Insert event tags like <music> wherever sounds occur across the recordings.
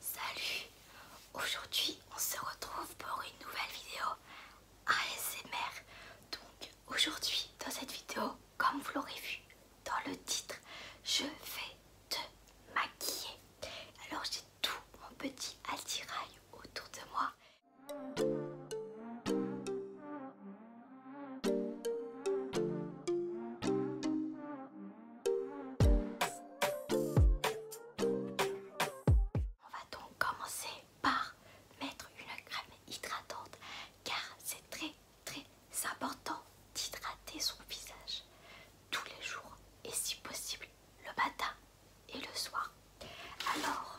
Salut Aujourd'hui on se retrouve pour une nouvelle vidéo ASMR Donc aujourd'hui dans cette vidéo comme vous l'aurez vu dans le titre Je vais te maquiller Alors j'ai tout mon petit attirail autour de moi on va donc commencer par mettre une crème hydratante car c'est très très important d'hydrater son visage tous les jours et si possible le matin et le soir. Alors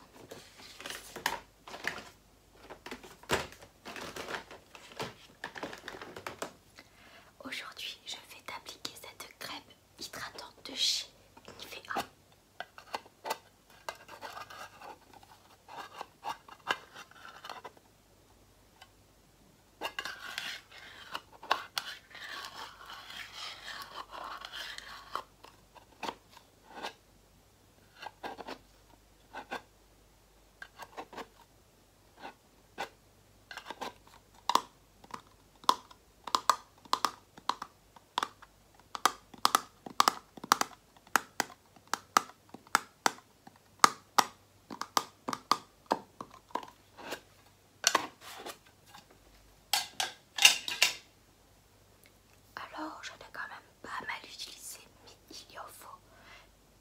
Aujourd'hui, je vais t'appliquer cette crème hydratante de chez Nivea. Alors, je n'ai quand même pas mal utilisé, mais il y en faut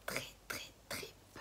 très très très peu.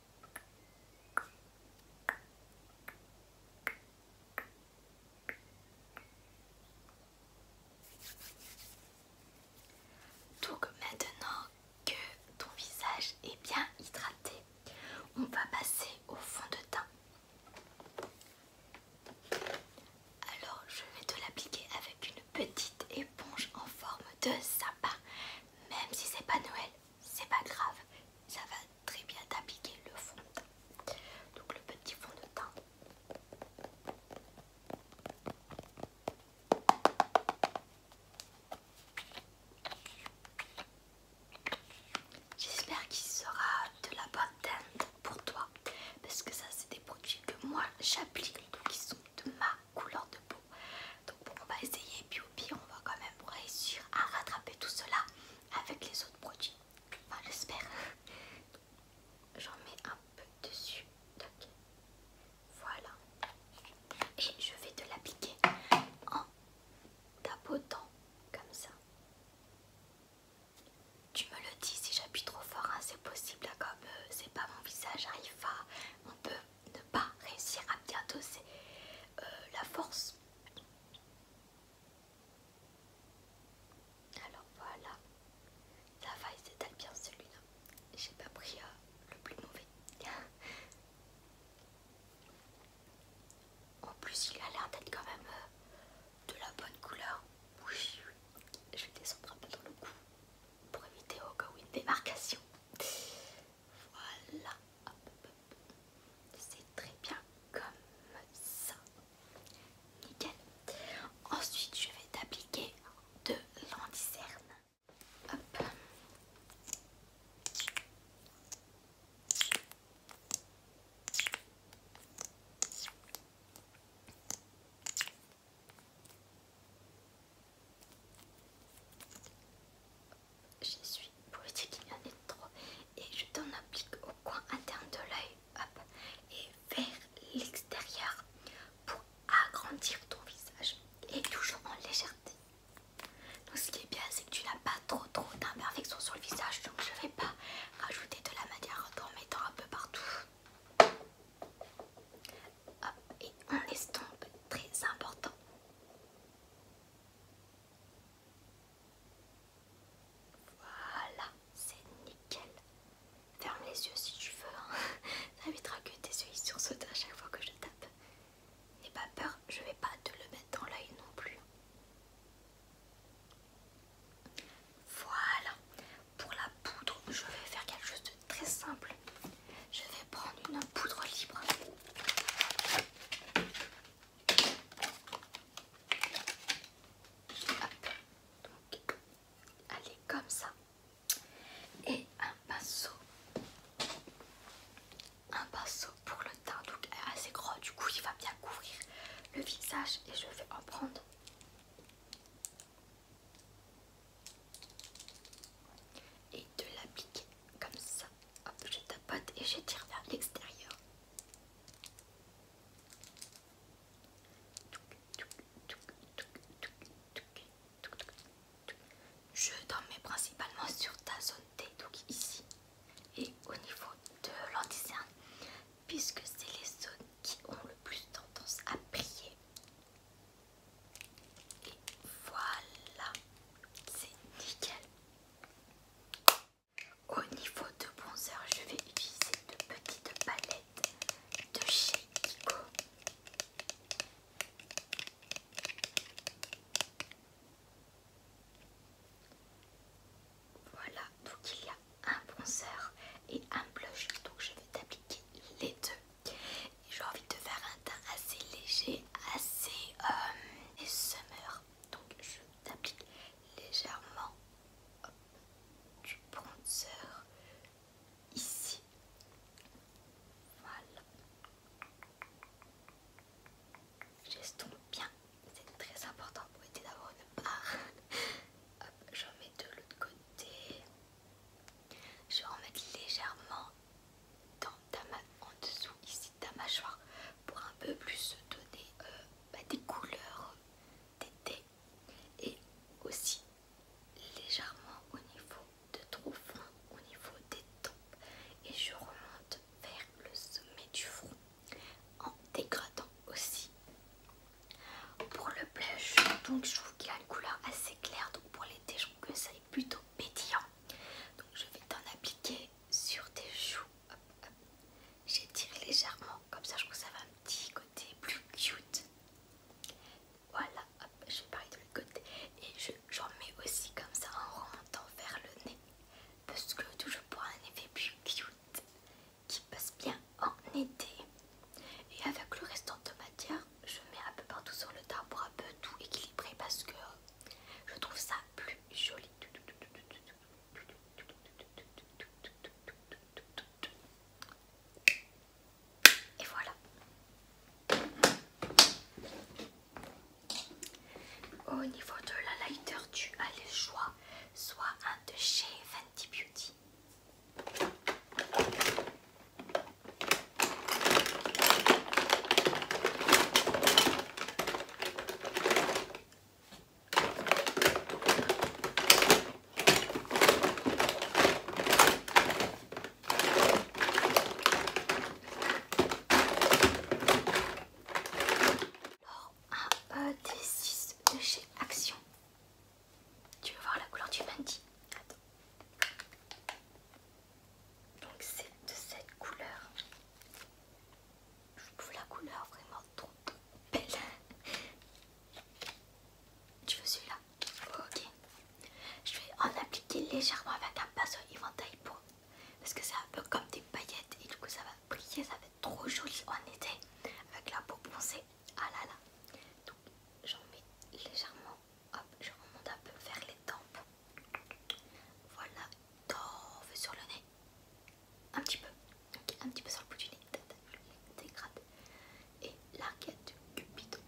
Donc maintenant que ton visage est bien hydraté, on va passer au fond de teint. Alors je vais te l'appliquer avec une petite éponge en forme de sapin. Même si c'est pas Noël, c'est pas grave, ça va très bien d'appliquer le fond de teint. Donc le petit fond de teint. J'espère qu'il sera de la bonne teinte pour toi parce que ça c'est des produits que moi j'applique donc ils sont de ma couleur de peau. Donc on va essayer et puis au pire on va quand même pour réussir à rattraper tout cela avec les autres produits. Enfin, j'espère. J'en mets un peu dessus. Voilà. Et je vais te l'appliquer en tapotant comme ça. Tu me le dis si j'appuie trop fort, hein, c'est possible, hein, comme euh, c'est pas mon visage, arrive pas. On peut ne pas réussir à bien doser euh, la force. Alors voilà, la va, il s'étale bien celui-là. J'ai pas pris euh, le plus mauvais. <laughs> en plus, il a l'air d'être quand même euh, de la bonne couleur. je vais descendre un peu dans le cou pour éviter au cas où une démarcation. Voilà, c'est très bien comme ça. Nickel. Ensuite, je vais t'appliquer de l'endicerne j'y suis pour éviter qu'il y en ait trop et je t'en applique au coin interne de l'œil et vers l'extérieur pour agrandir ton visage et toujours en légèreté. Donc ce qui est bien c'est que tu n'as pas trop trop d'imperfections sur le visage donc je ne vais pas rajouter de la matière en mettant un peu partout. Hop, et on estompe, très important. Voilà, c'est nickel. Ferme les yeux si tu veux. T'inviteras hein. <laughs> que tes yeux sursautent à chaque fois que je tape. N'aie pas peur, je vais pas te le mettre dans l'œil non plus. Voilà. Pour la poudre, je vais faire quelque chose de très simple. Je vais prendre une poudre libre allez comme ça. Et un pinceau. Un pinceau pour le teint, donc assez gros, du coup il va bien couvrir le visage et je vais en prendre et de l'appliquer comme ça je tapote et j'étire vers l'extérieur. Je dormais principalement sur ta zone T, donc ici, et au niveau de l'anticerne, puisque c'est les zones qui ont le plus tendance à prier. Et voilà, c'est nickel. Au niveau de bronzer, je vais utiliser de petites palettes de chez Kiko. Voilà, donc il y a un bronzer et un blush, donc je vais t'appliquer les deux. J'ai envie de faire un teint assez léger, assez euh, summer donc je t'applique légèrement du bronzer ici voilà j'estompe bien c'est très important pour éviter d'avoir une barre hop remets mets de l'autre côté je remets légèrement en dessous ici de ta mâchoire pour un peu plus donner euh, bah, des couleurs d'été et aussi légèrement au niveau de trop front, au niveau des tempes et je remonte vers le sommet du front en dégradant aussi pour le blush donc je trouve qu'il a une couleur assez claire donc pour l'été je trouve que ça est plutôt pétillant donc je vais t'en appliquer sur tes joues. tiré légèrement, comme ça je trouve ça va un petit côté plus cute. Voilà, j'ai je de l'autre côté. Et j'en mets aussi comme ça en remontant vers le nez. Parce que toujours pour un effet plus cute qui passe bien en été. Et avec le restant de matière, je mets un peu partout sur le tableau pour un peu tout équilibrer parce que je trouve ça plus joli. Et voilà. Au niveau de la lighter, tu as le choix soit un de chez Fenty Beauty. Oh, un des 6 de chez Action. Tu veux voir la couleur du Mandy Attends. Donc c'est de cette couleur. Je trouve la couleur vraiment trop belle. Tu veux celui-là Ok. Je vais en appliquer légèrement avec un pinceau éventail pour... Parce que c'est un peu comme des paillettes et du coup ça va briller, ça va être trop joli en été avec la peau bronzée. Ah là là. Donc j'en mets légèrement. Hop, je remonte un peu vers les tempes. Voilà, d'or sur le nez. Un petit peu. un petit peu sur le bout du nez. Dégrade. Et l'arcade du Cupidon.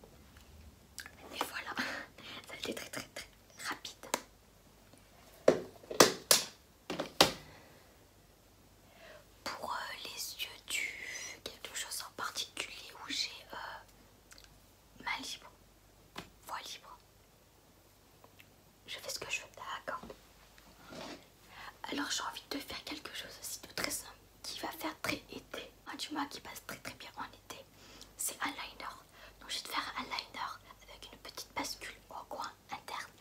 Et voilà. <laughs> Ça a été très très très rapide. Pour euh, les yeux du quelque chose en particulier où j'ai euh, ma libre, voix libre, je fais ce que je veux, d'accord Alors j'ai envie de faire quelque chose aussi de très simple qui va faire très été, un hein, du mois qui passe très très bien en été. C'est un liner. Donc je vais te faire un liner avec une petite bascule au coin interne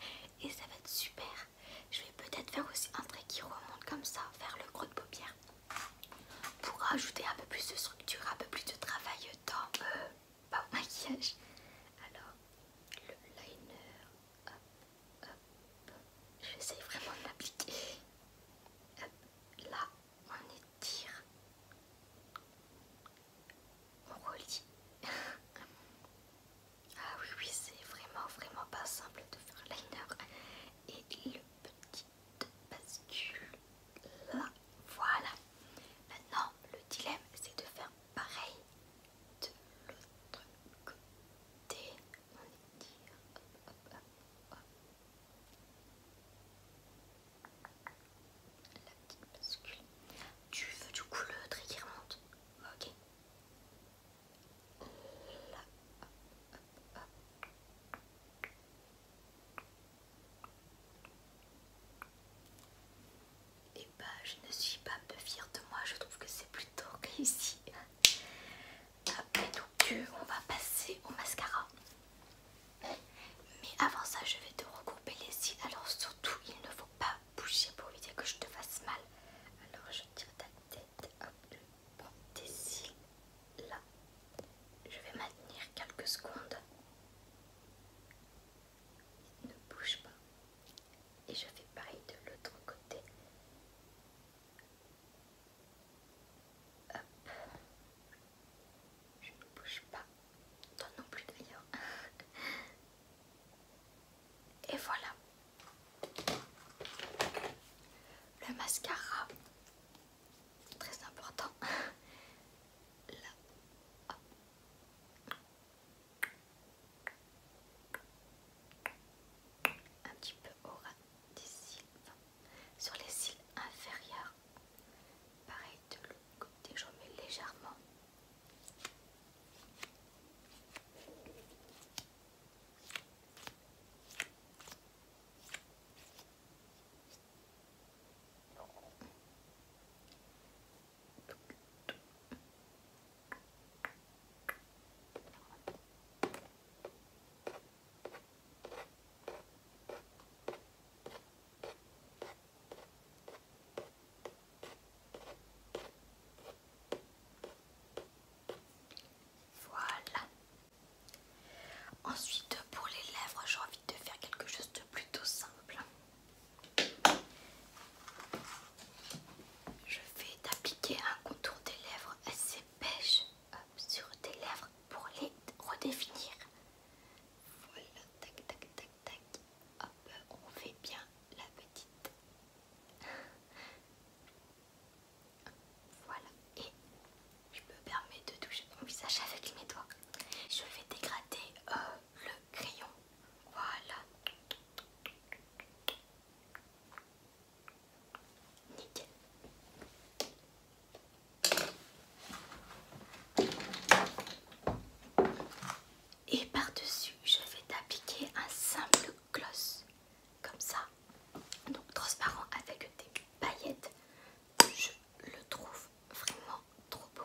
et ça va être super. Je vais peut-être faire aussi un trait qui remonte comme ça vers le gros de paupière pour ajouter un peu plus de structure, un peu plus de travail dans... Euh, pas au maquillage. Alors, le liner, hop, hop, j'essaye vraiment de l'appliquer. là, on étire, on relie. <laughs> ah oui, oui, c'est vraiment, vraiment pas simple de faire liner. Et le petit bascule voilà. Maintenant, le dilemme, c'est de faire pareil de l'autre côté. On étire, hop, hop, hop, hop. La petite bascule. Tu veux du coup le trait qui remonte Ok. Là, hop, hop, hop. Et eh bah, ben, je ne suis pas un peu fière de moi, je trouve que c'est plutôt <laughs> réussi. Après, ah, donc, euh, on va passer au mascara. Mais avant ça, je vais te regrouper les cils. Alors, surtout, il ne faut pas bouger pour éviter que je te fasse mal. Alors, je tire ta tête, hop, peu, tes cils là. Je vais maintenir quelques secondes ne bouge pas. Et je fais pareil de l'autre côté. Je ne bouge pas. Toi non plus d'ailleurs. <laughs> Et voilà. Le mascara. Très important. <laughs> Un petit peu au ras des cils, sur les cils inférieurs. Pareil de l'autre côté, j'en mets légèrement. Voilà. Ensuite, pour les lèvres, j'ai envie de faire quelque chose de plutôt simple. Je vais t'appliquer un contour des lèvres assez beige sur tes lèvres pour les redéfinir. Voilà, tac, tac, tac, tac. Hop, on fait bien la petite. Voilà, et je me permets de toucher mon visage avec mes doigts. Je vais dégrader euh, le crayon. Voilà. Nickel. Et par-dessus, je vais t'appliquer un simple gloss, comme ça, donc transparent avec des paillettes. Je le trouve vraiment trop beau.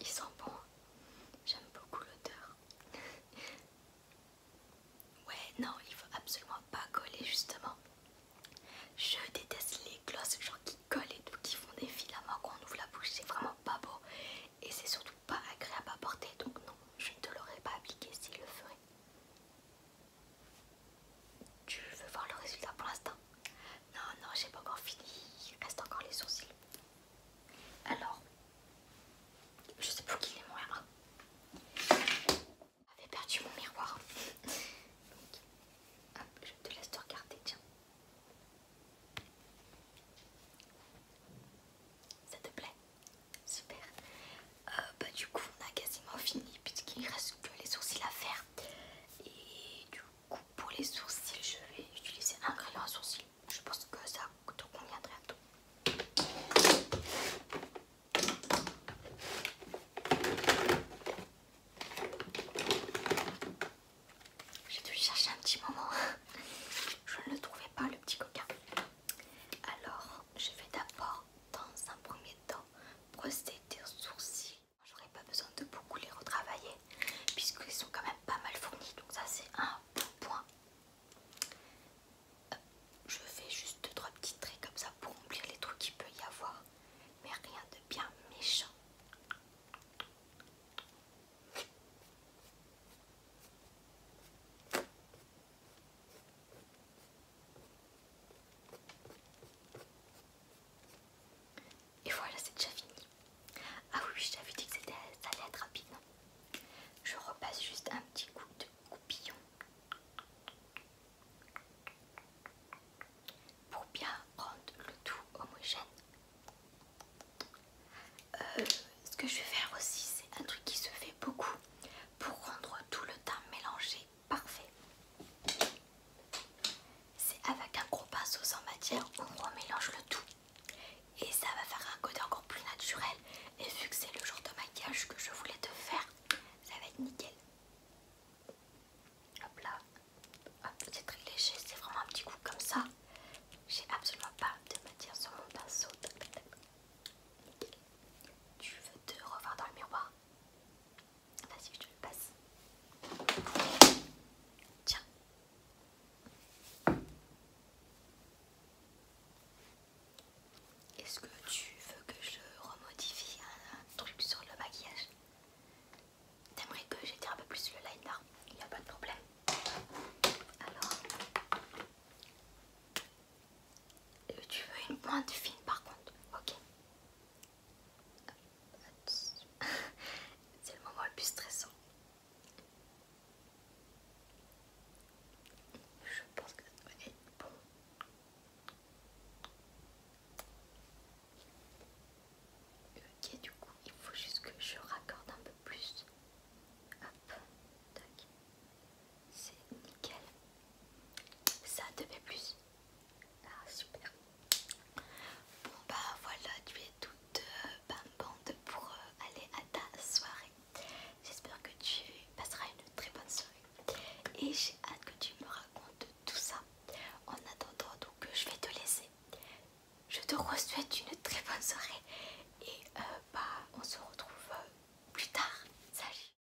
il sent bon. J'aime beaucoup l'odeur. <laughs> ouais, non, il faut absolument pas coller justement. Je déteste les glosses genre qui collent et tout, qui font des filaments quand on ouvre la bouche, c'est vraiment pas beau et c'est surtout pas agréable à porter donc non, je ne te l'aurais pas appliqué s'il le ferait. Tu veux voir le résultat pour l'instant non, non, j'ai pas encore fini. Il reste encore les sourcils. Alors, je sais plus qu'il est mon J'avais perdu mon miroir. Donc, je te laisse te regarder, tiens. Ça te plaît Super. Euh, bah du coup on a quasiment fini puisqu'il reste que les sourcils à faire. Et du pour les sourcils, je vais utiliser un crayon à sourcils. Je pense que ça te conviendrait à tout. J'ai dû chercher un petit moment. <laughs> Je ne le trouvais pas le petit coquin. Alors je vais d'abord dans un premier temps brosser tes sourcils J'aurais pas besoin de beaucoup les retravailler puisqu'ils sont quand même pas mal fournis. Donc ça c'est un bon point. je fais juste 2-3 petits traits comme ça pour remplir les trous qu'il peut y avoir. Mais rien de bien méchant. Et voilà, c'est déjà fini. Ah oui, je t'avais dit que ça allait être rapide. Je repasse juste un petit coup de coupillon pour bien rendre le tout homogène. Euh, ce que je vais faire aussi, c'est un truc qui se fait beaucoup pour rendre tout le temps mélangé parfait. C'est avec un gros pinceau sans matière, on remélange le tout. Et ça va faire un côté encore plus naturel. Et vu que c'est le genre de maquillage que je voulais te faire, ça va être nickel. Hop là. c'est très léger, c'est vraiment un petit coup comme ça. J'ai absolument pas de matière sur mon pinceau. Nickel. Tu veux te revoir dans le miroir Vas-y, je te le passe. Tiens. Est-ce que tu veux que je remodifie un, truc sur le maquillage T'aimerais que j'étire un peu plus le liner Il n'y a pas de problème. Alors, euh, tu veux une pointe fine par contre, ok <laughs> C'est le moment le plus stressant. Je pense que ça être bon. Ok, du coup, il faut juste que je raccorde un peu plus. Hop, tac. C'est nickel. Ça fait plus. Ah super. Bon bah voilà, tu es toute euh, bande pour euh, aller à ta soirée. J'espère que tu passeras une très bonne soirée. Et j'ai hâte que tu me racontes tout ça. En attendant donc je vais te laisser. Je te souhaite une très bonne soirée. Et euh, bah on se retrouve plus tard. Salut